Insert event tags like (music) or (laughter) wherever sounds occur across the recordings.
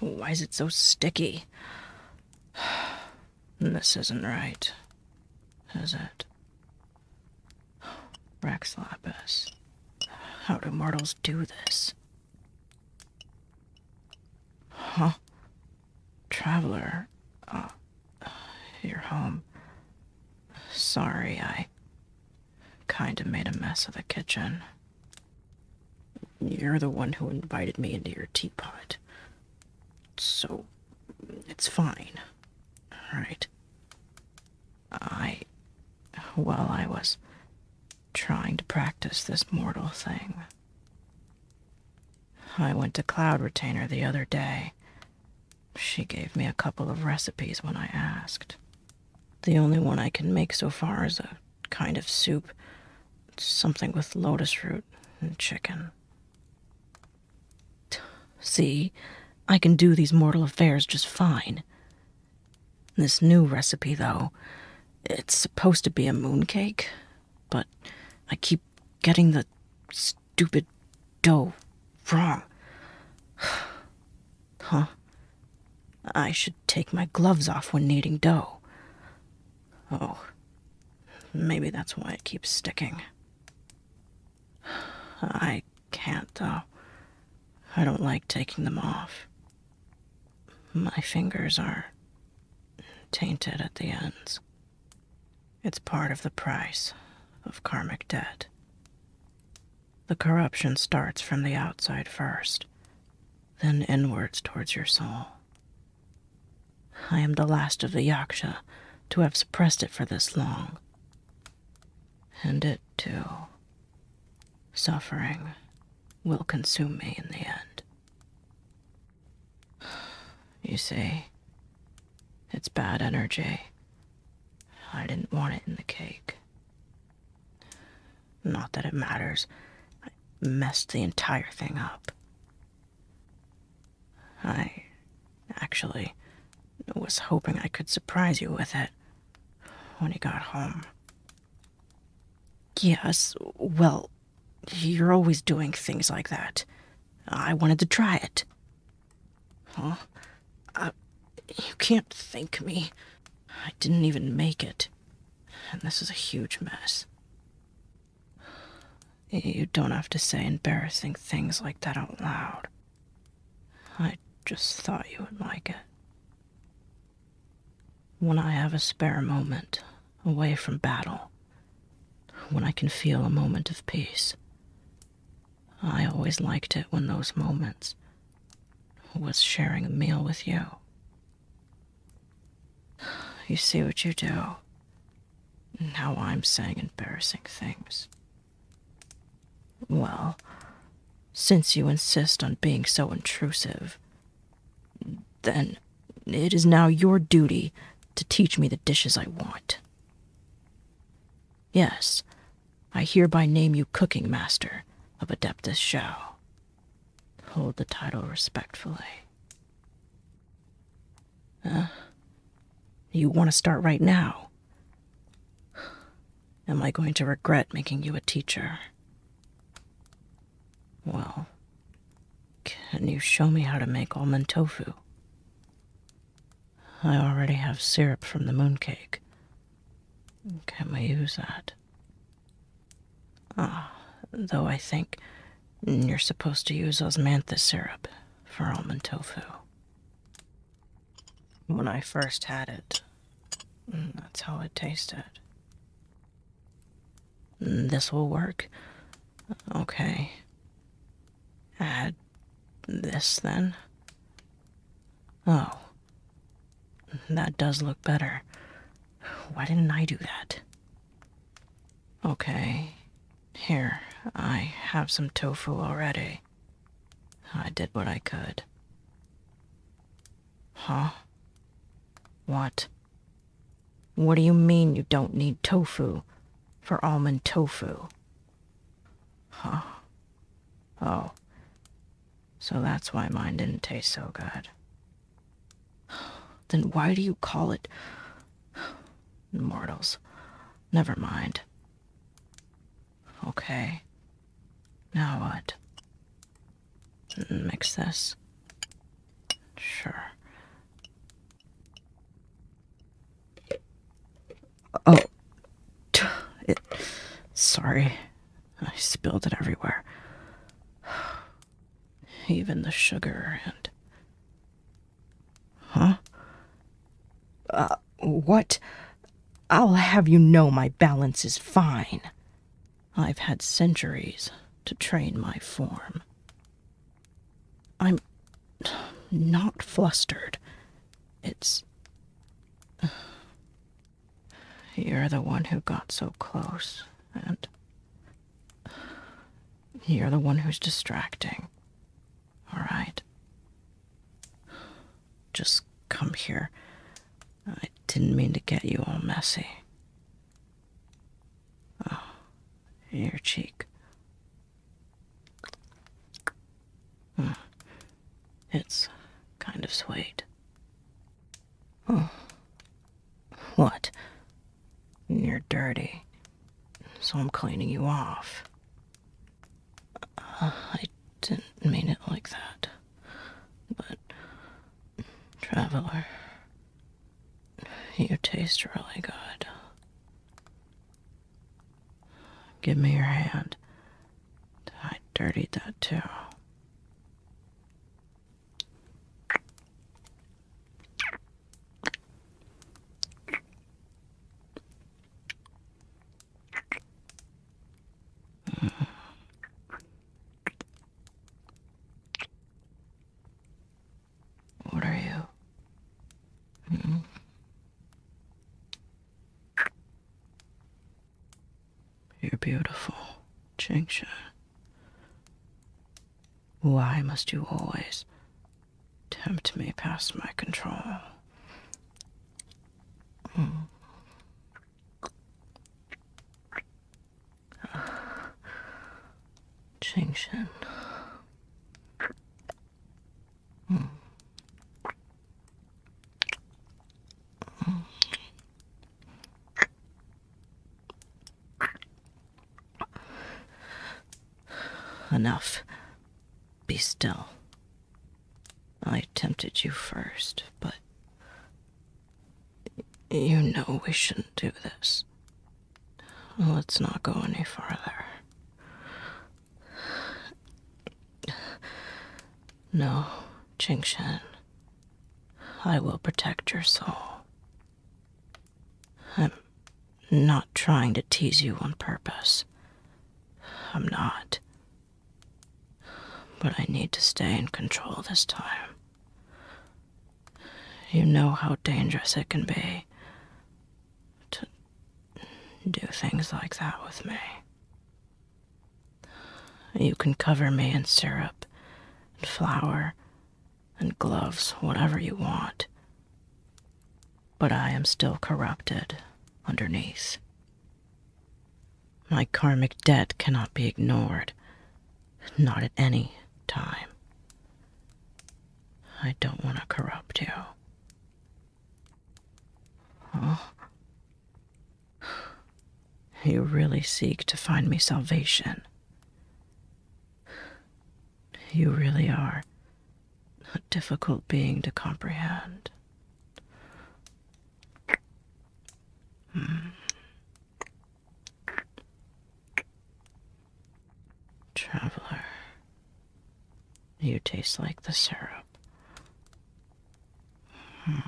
Why is it so sticky? This isn't right, is it? Rex how do mortals do this? Huh? Traveler, uh, you're home. Sorry, I Kinda made a mess of the kitchen. You're the one who invited me into your teapot. So, it's fine. All right. I. Well, I was trying to practice this mortal thing. I went to Cloud Retainer the other day she gave me a couple of recipes when I asked. The only one I can make so far is a kind of soup, something with lotus root and chicken. See, I can do these mortal affairs just fine. This new recipe, though, it's supposed to be a mooncake, but I keep getting the stupid dough wrong. (sighs) huh. I should take my gloves off when kneading dough. Oh, maybe that's why it keeps sticking. (sighs) I can't, though. I don't like taking them off. My fingers are tainted at the ends. It's part of the price of karmic debt. The corruption starts from the outside first, then inwards towards your soul. I am the last of the Yaksha to have suppressed it for this long. And it, too, suffering, will consume me in the end. You say it's bad energy. I didn't want it in the cake. Not that it matters. I messed the entire thing up. I actually was hoping I could surprise you with it when he got home. Yes, well, you're always doing things like that. I wanted to try it. Huh? Uh, you can't thank me. I didn't even make it. And this is a huge mess. You don't have to say embarrassing things like that out loud. I just thought you would like it. When I have a spare moment, away from battle, when I can feel a moment of peace. I always liked it when those moments was sharing a meal with you. You see what you do. Now I'm saying embarrassing things. Well, since you insist on being so intrusive, then it is now your duty to teach me the dishes I want. Yes, I hereby name you cooking master of Adeptus Shao. Hold the title respectfully. you want to start right now? Am I going to regret making you a teacher? Well, can you show me how to make almond tofu? I already have syrup from the mooncake. Can we use that? Ah, though I think you're supposed to use osmanthus syrup for almond tofu. When I first had it, mm, that's how it tasted. Mm, this will work. Okay. Add this then. Oh. That does look better. Why didn't I do that? Okay. Here, I have some tofu already. I did what I could. Huh? What? What do you mean you don't need tofu for almond tofu? Huh. Oh. So that's why mine didn't taste so good. Then why do you call it. Mortals. Never mind. Okay. Now what? Mix mm, this. Sure. Oh. It, sorry. I spilled it everywhere. (sighs) Even the sugar and. Huh? Uh, what? I'll have you know my balance is fine. I've had centuries to train my form. I'm not flustered. It's. (sighs) You're the one who got so close, and. You're the one who's distracting. Alright? Just come here. I didn't mean to get you all messy. Oh, your cheek. Hmm. It's kind of sweet. Oh. What? You're dirty, so I'm cleaning you off. Uh, I didn't mean it like that. But, traveler, you taste really good. Give me your hand. I dirtied that too. What are you? Hmm? You're beautiful, Jingsha. Why must you always tempt me past my control? Mm. Jingshan. Hmm. Enough. Be still. I tempted you first, but you know we shouldn't do this. Let's not go any further. No, Qingshan. I will protect your soul. I'm not trying to tease you on purpose. I'm not. But I need to stay in control this time. You know how dangerous it can be to do things like that with me. You can cover me in syrup and flour and gloves, whatever you want but I am still corrupted underneath. My karmic debt cannot be ignored, not at any time. I don't want to corrupt you. Oh. You really seek to find me salvation. You really are a difficult being to comprehend. Hmm. Traveler, you taste like the syrup. Hmm.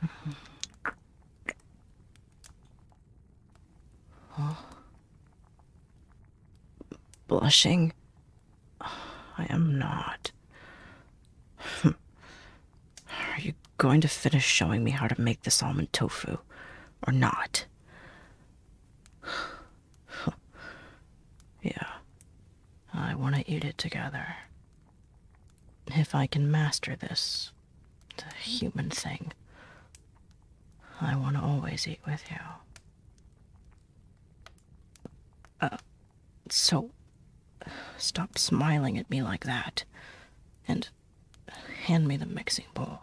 Hmm. Blushing? I am not. (laughs) Are you going to finish showing me how to make this almond tofu, or not? (sighs) yeah, I want to eat it together. If I can master this, it's a human thing. I want to always eat with you. Uh, so, stop smiling at me like that, and hand me the mixing bowl.